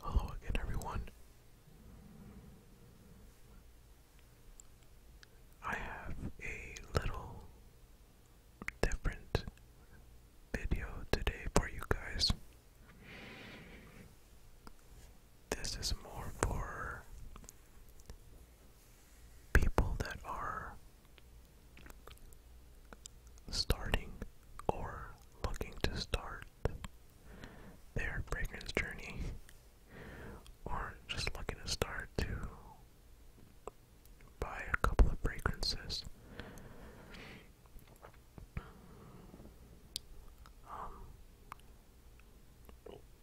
Hello again, everyone. I have a little different video today for you guys. This is more for people that are starting or looking to start their fragrance journey, or just looking to start to buy a couple of fragrances. Um,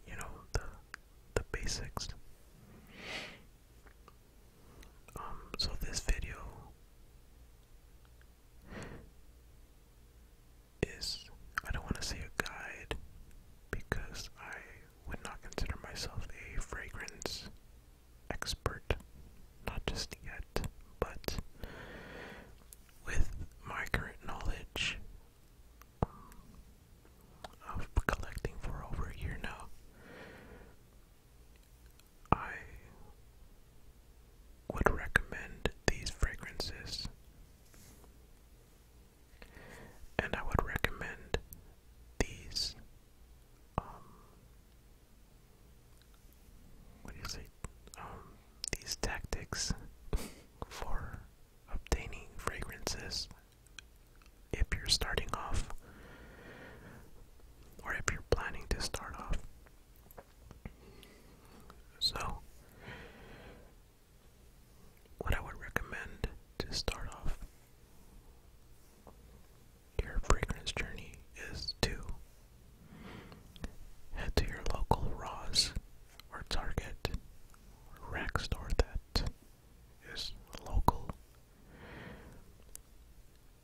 you know the the basics. Um, so this video is I don't want to say a guide because I would not consider myself a fragrance expert, not just yet, but with my knowledge um, of collecting for over a year now, I would recommend these fragrances, and I would recommend these. Um, what um, these tactics for obtaining fragrances if you're starting off or if you're planning to start off so, what I would recommend to start off your fragrance journey is to head to your local Ross or Target rack store that is local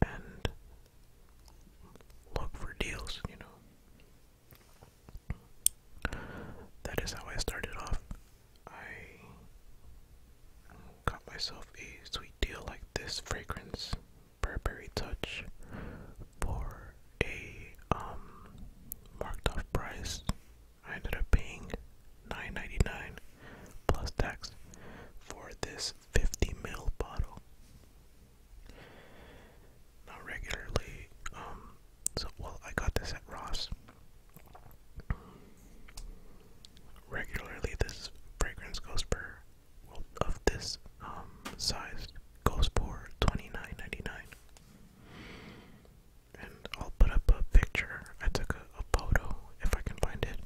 and look for deals, you know. That is how I started off. I got myself a sweet deal like this fragrance, Burberry Touch, for a um marked off price. I ended up paying 9 plus tax for this 50 ml bottle. Not regularly. Um, so, well, I got this at Ross. Regularly, this fragrance goes per, of this um, size goes for twenty nine ninety nine. And I'll put up a picture. I took a, a photo, if I can find it.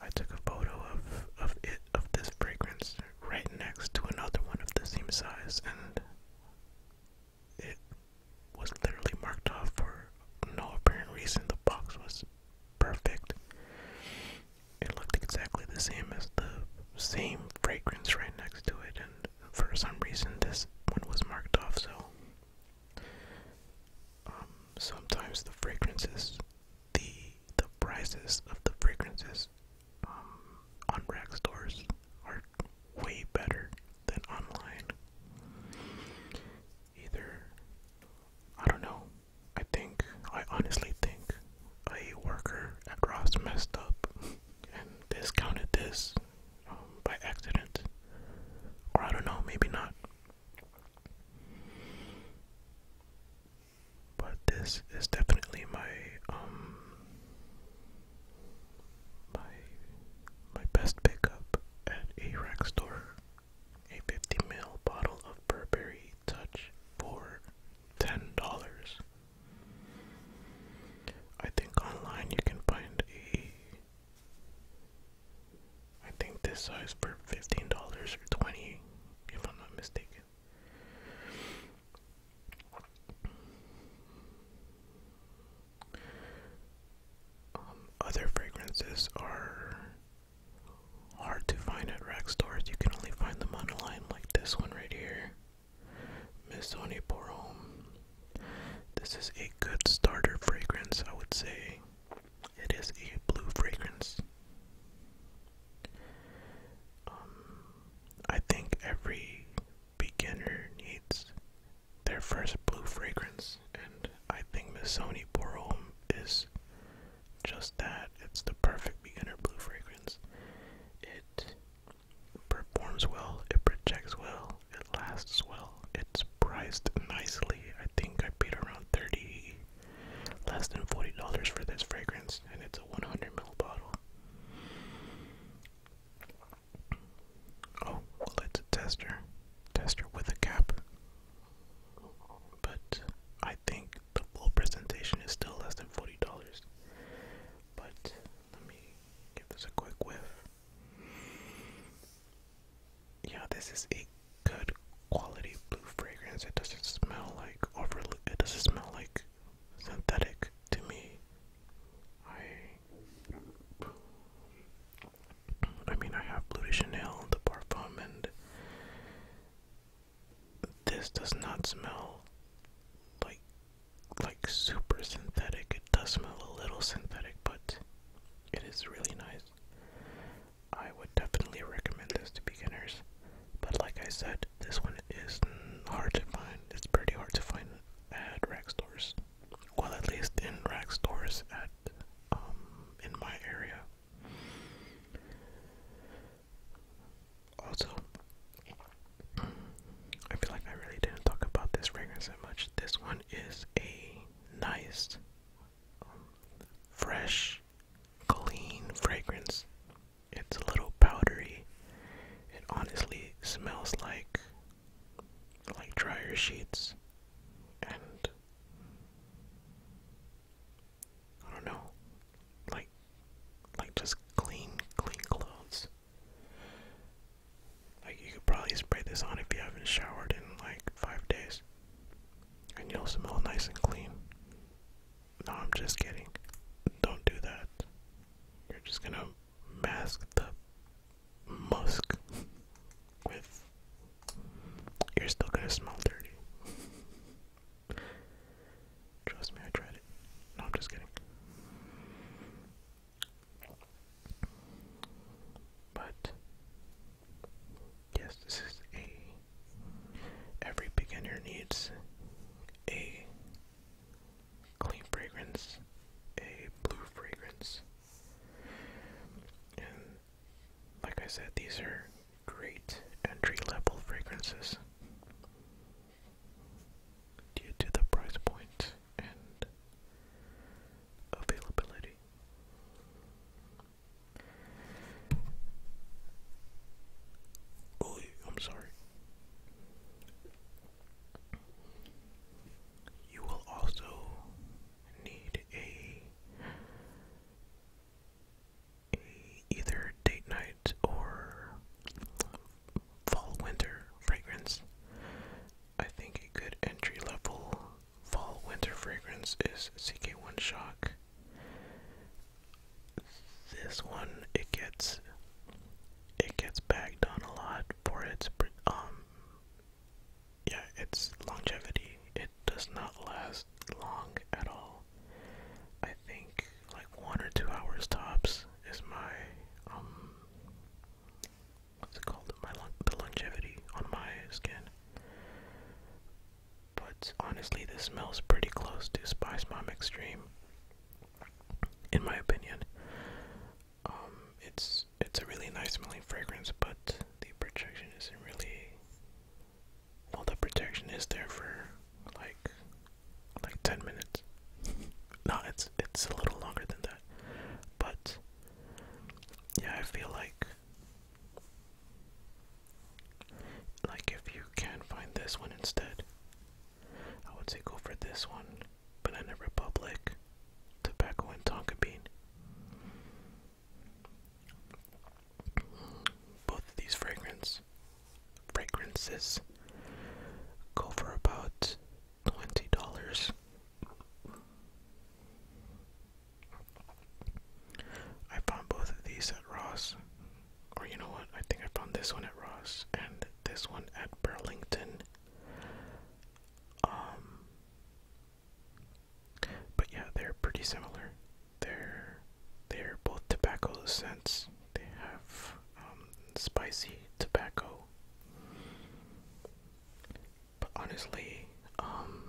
I took a photo of, of it, of this fragrance, right next to another one of the same size, and it was literally marked off for no apparent reason. The box was perfect. It looked exactly the same as the same fragrance right next to it, and for some reason, this one was marked off. So, um, sometimes the fragrances the the prices of the fragrances um, on rack stores are way better than online. Either I don't know. I think I honestly think a worker at Ross messed up and discounted this um, by accident, or I don't know, maybe not. But this is definitely my um my my best pickup at a rack store. A 50 ml bottle of Burberry Touch for ten dollars. I think online you can find a I think this size for fifteen dollars or twenty, if I'm not mistaken. Um, other fragrances are hard to find at rack stores. You can only find them online, like this one right here. Missoni Porome. This is a good starter fragrance, I would say. It is a blue fragrance. Um, I think every beginner needs their first blue fragrance, and I think Missoni Borom is just that. It's the perfect beginner blue fragrance. It performs well, it projects well, it lasts well, it's priced nicely. I think I paid around 30 Less than $40 for this fragrance, and it's a 100 ml bottle. Oh, well, it's a tester. Tester with a cap. But I think the full presentation is still less than $40. But let me give this a quick whiff. Yeah, this is a good quality blue fragrance. It doesn't smell like overly. It doesn't smell like synthetic to me. I. I mean, I have Blue de Chanel, the parfum, and this does not smell like like super synthetic. It does smell a little synthetic, but it is really nice. I would definitely recommend this to beginners. But like I said, this one is hard to find. It's pretty hard to find at rack stores. Well, at least in rack stores at um in my area. Also, I feel like I really didn't talk about this fragrance that much. This one is a nice, um, fresh clean fragrance. It's a little powdery. It honestly smells like like dryer sheets and I don't know. Like like just clean, clean clothes. Like you could probably spray this on if you haven't showered in like five days. And you'll smell nice and clean. No, I'm just kidding. Don't do that. You're just gonna mask the musk with. You're still gonna smell dirty. Trust me, I tried it. No, I'm just kidding. But yes, this is a Every beginner needs a clean fragrance, a blue fragrance. And like I said, these are great entry level fragrances due to the price point and availability. Oh, I'm sorry. You will also need a, either date night or fall winter fragrance. I think a good entry level fall winter fragrance is CK1 Shock this one, it gets it gets bagged on a lot for its um yeah its longevity. It does not last long at all. I think like one or two hours tops is my um what's it called my the longevity on my skin but honestly, this smells pretty close to Spice Mom Extreme, in my opinion. Um, it's it's a really nice smelling fragrance, but the protection isn't really. Well, the protection is there for like like ten minutes. no, it's it's a little longer than that, but yeah, I feel like like, if you can find this one instead, I would say go for this one. Banana Republic, tobacco and tonka bean. Both of these fragrance fragrances go for about twenty dollars. I found both of these at Ross or you know what? I think I found this one at Ross and this one at Burlington. Um, but yeah, they're pretty similar. They're they're both tobacco scents. They have um, spicy tobacco. But honestly, um,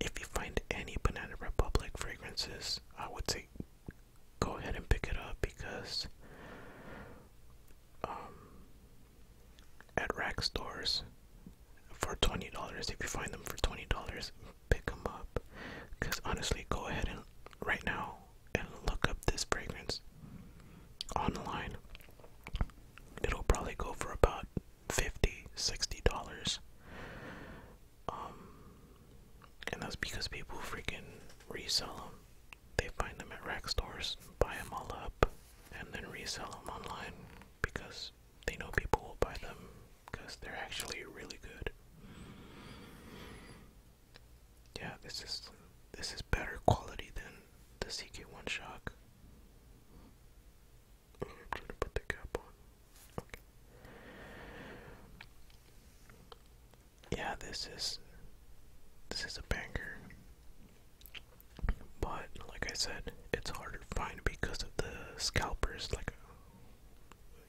if you find any Banana Republic fragrances, I would say go ahead and pick it up because um, at rack stores for $20 if you find them for $20 pick them up because honestly go ahead and right now and look up this fragrance online it'll probably go for about 50 60 dollars um, and that's because people freaking resell them. They find them at rack stores, buy them all up, and then resell them online because they know people will buy them because they're actually really good. Yeah, this is this is better quality than the CK1 shock. I'm trying to put the cap on. Yeah, this is this is a banger. But like I said, it's harder to find because of the scalpers like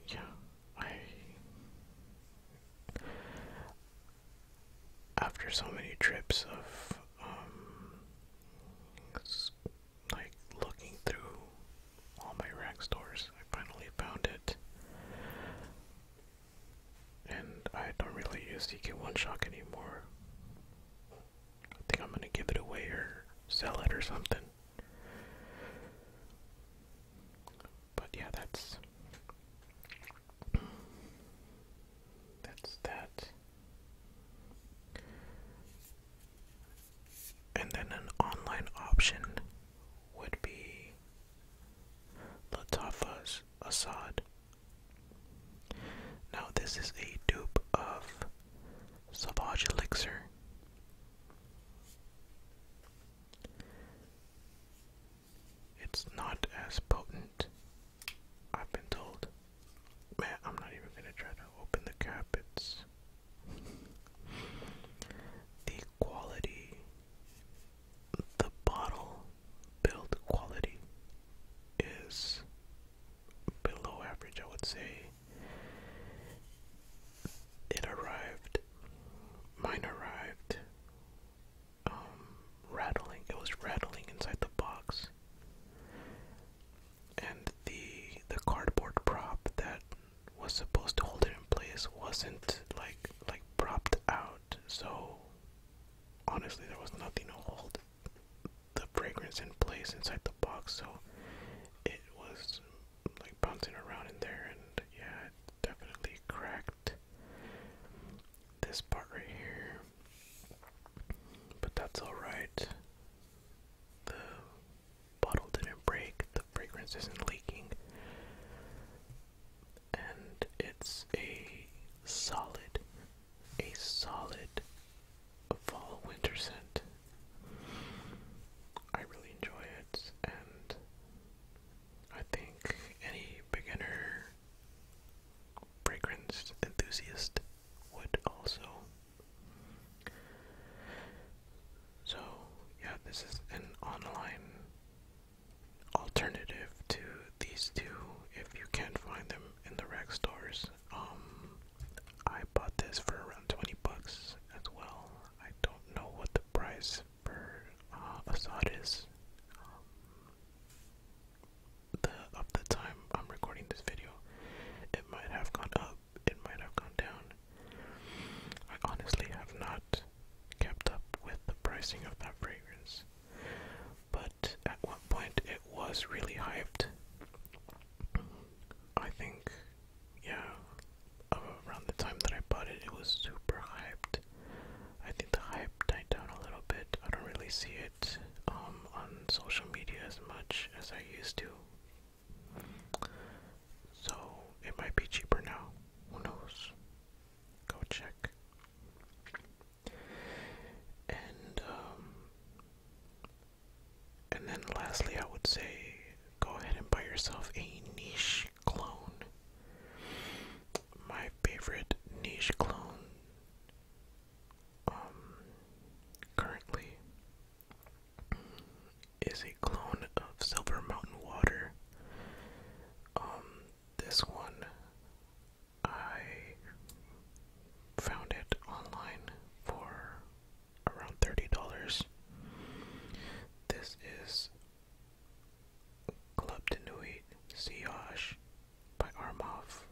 yeah, I after so many trips of um like looking through all my rack stores. I finally found it. And I don't really use DK One Shock anymore. I think I'm gonna give it away or sell it or something. But yeah, that's that's that. And then an online option would be Latafa's Assad. Now, this is a dupe of Savage Elixir. It's not as potent, I've been told. Man, I'm not even gonna try to open the cap, it's the quality, the bottle build quality is below average, I would say. It arrived, mine arrived um, rattling it was rattling inside the box and the the cardboard prop that was supposed to hold it in place wasn't like like propped out, so honestly there was nothing to hold the fragrance in place inside the box, so it was like bouncing around in there, and yeah, it definitely cracked this part right here. But that's alright bottle didn't break, the fragrance isn't leaking, and it's a solid, a solid fall winter scent. I really enjoy it, and I think any beginner fragrance enthusiast would also. So, yeah, this is an online alternative to these two if you can't find them in the rec stores. Um, I bought this for around 20 bucks as well. I don't know what the price for uh, is. Um, the, of the time I'm recording this video, it might have gone up, it might have gone down. I honestly have not kept up with the pricing of that fragrance, but at one point it was really hyped. I think, yeah, around the time that I bought it, it was super hyped. I think the hype died down a little bit. I don't really see it um, on social media as much as I used to. So it might be cheaper now. Who knows? Go check. And um, and then lastly I would say go ahead and buy yourself a niche clone. My favorite niche clone um, currently is a clone of Silver Mountain Water. Um, this one I found it online for around $30. This is Club Denuit Siage by Armov.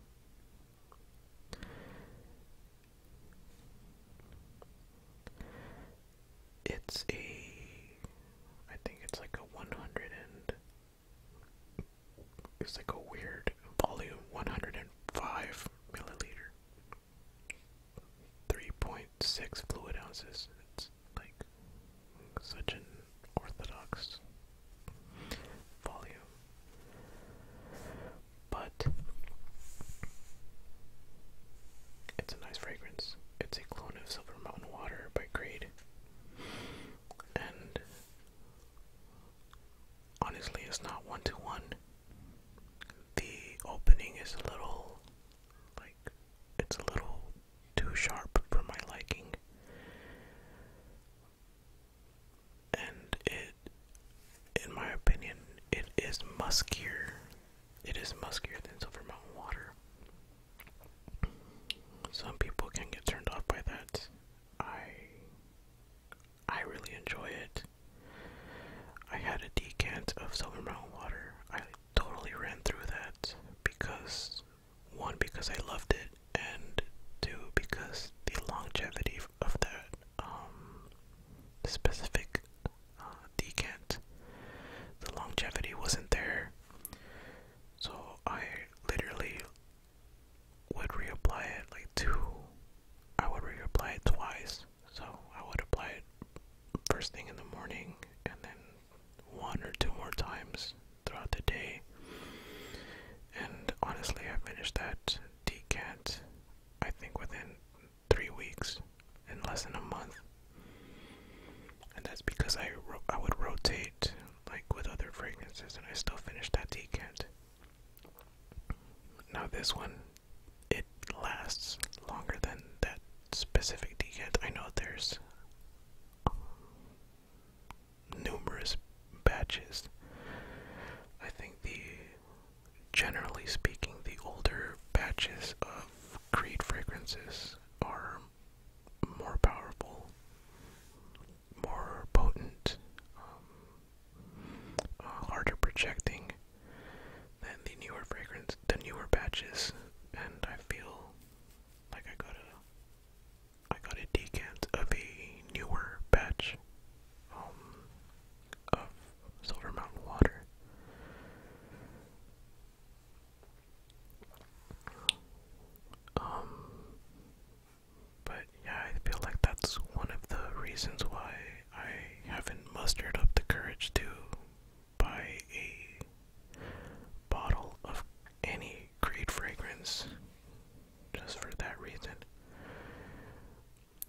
It's a I think it's like a 100 and it's like a weird volume 105 milliliter 3.6 fluid ounces. It's like such an orthodox volume. But it's a nice fragrance. It's a clone of Silver Mountain Water by Grade. And honestly, it's not one to one. The opening is a little like it's a little too sharp for my liking. And it in my opinion, it is muskier it is muskier than Silver Mountain water. Some people can get turned off by that. I I really enjoy it. I had a decant of Silver Mountain water. I totally ran through that because one because I loved it and two because the longevity of that um, specific uh, decant. The longevity wasn't there, so I literally would reapply it like two. I would reapply it twice. So I would apply it first thing in the morning and then one or two more times throughout the day. And honestly, I finished that decant I think within three weeks in less than a month. And that's because I I would rotate like with other fragrances, and I still finished that decant. Now this one, it lasts longer than that specific decant. I know there's um, numerous batches. I think the, generally speaking, the older batches of Creed fragrances are more powerful, more potent, um, uh, harder projecting than the newer fragrance, the newer batches, and I feel like I got a, I got a decant of a newer batch um, of Silver Mountain Water. Um, but yeah, I feel like that's one of the reasons why I haven't mustered up the courage to buy a bottle of any great fragrance just for that reason.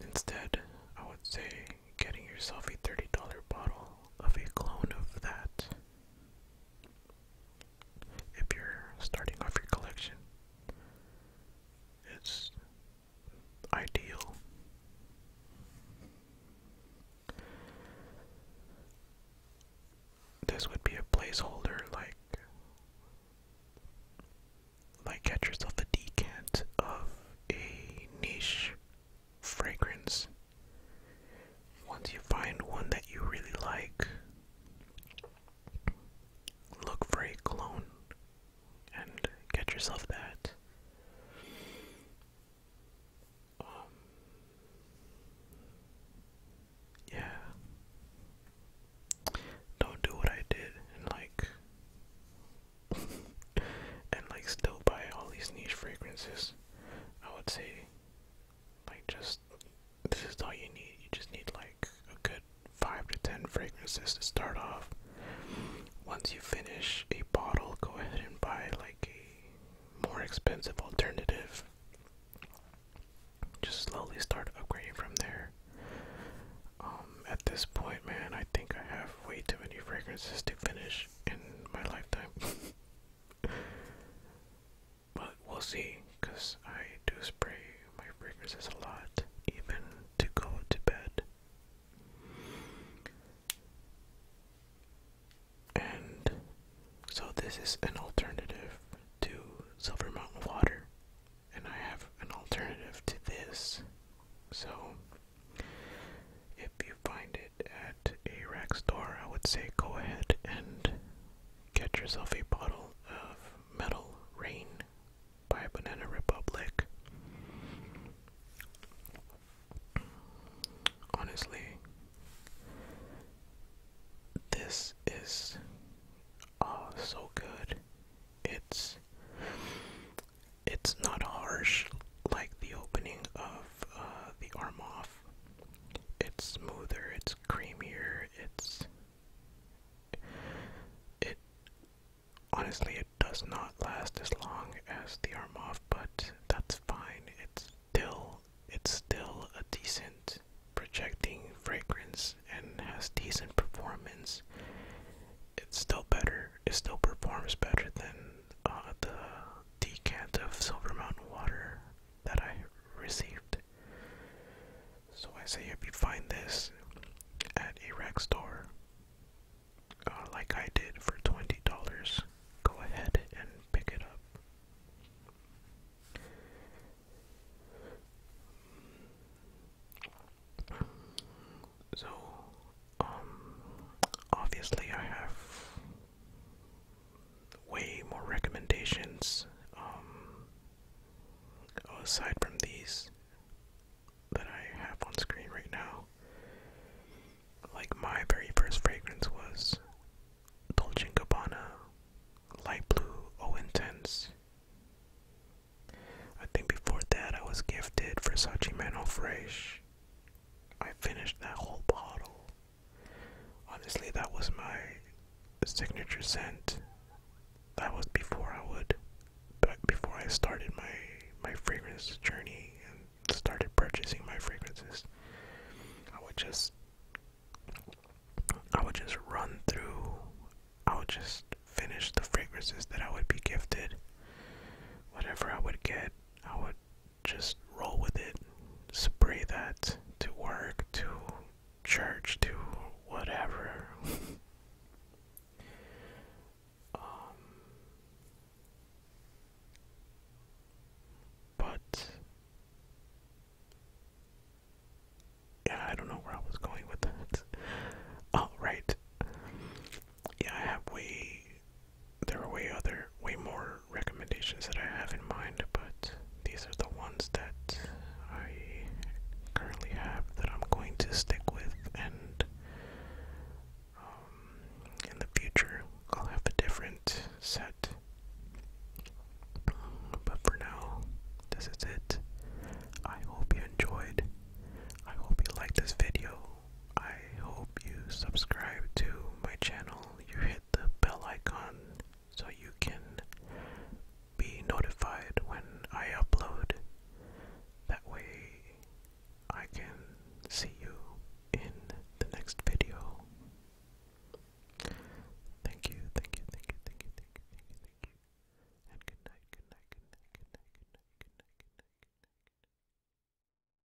Instead, I would say getting yourself a $30 bottle of a clone of that if you're starting off your collection. It's ideal. This would be a placeholder like like get yourself a decant of a niche fragrance. Once you find one that you really like, look for a clone and get yourself that. Um, yeah. Don't do what I did and like and like still buy all these niche fragrances. I would say, like, just this is all you need. You just need like a good five to ten fragrances to start off. Once you finish a bottle, go ahead and buy like a more expensive alternative. Just slowly start upgrading from there. Um, at this point, man, I think I have way too many fragrances to finish in my lifetime. but we'll see, because I do spray my fragrances a lot, even to go to bed. And so, this is an alternative to Silver Mountain Water, and I have an alternative to this. So, if you find it at a rack store, I would say go ahead and get yourself a bottle of Metal Rain by Banana Republic. Honestly, this is oh so good. It's it's not harsh like the opening of uh, the arm off. It's smoother, it's creamier, it's. It. Honestly, it does not last as long as the arm off, but that's fine. It's still. It's still a decent projecting fragrance and has decent performance. It's still better. It still performs better than uh, the decant of Silver Mountain water that I received. So I say if you find this at a rec store, uh, like I did for twenty dollars, go ahead and pick it up. So, um, obviously I have way more recommendations um, aside from these that I have on screen right now. Like my very first fragrance was Dolce & Gabbana Light Blue O oh, Intense. I think before that I was gifted Versace Man Fresh I finished that whole bottle. Honestly, that was my signature scent. That was before I would, but before I started my my fragrance journey and started purchasing my fragrances, I would just I would just run through. I would just finish the fragrances that I would be gifted. Whatever I would get, I would just roll with it, spray that to work, to church, to whatever. Um, but yeah, I don't know where I was going with that. Oh, Yeah, I have way there are way other, way more recommendations that I have in mind, but these are the ones that I currently have that I'm going to stick with, and um, in the future I'll have a different set. But for now, this is it. I hope you enjoyed. I hope you liked this video. I hope you subscribe to my channel. You hit the bell icon so you can be notified when I upload. That way, I can see you in the next video. Thank you, thank you, thank you, thank you, thank you, thank you, thank you. And good night, good night, good night, good night, good night, good night, good night. Good night.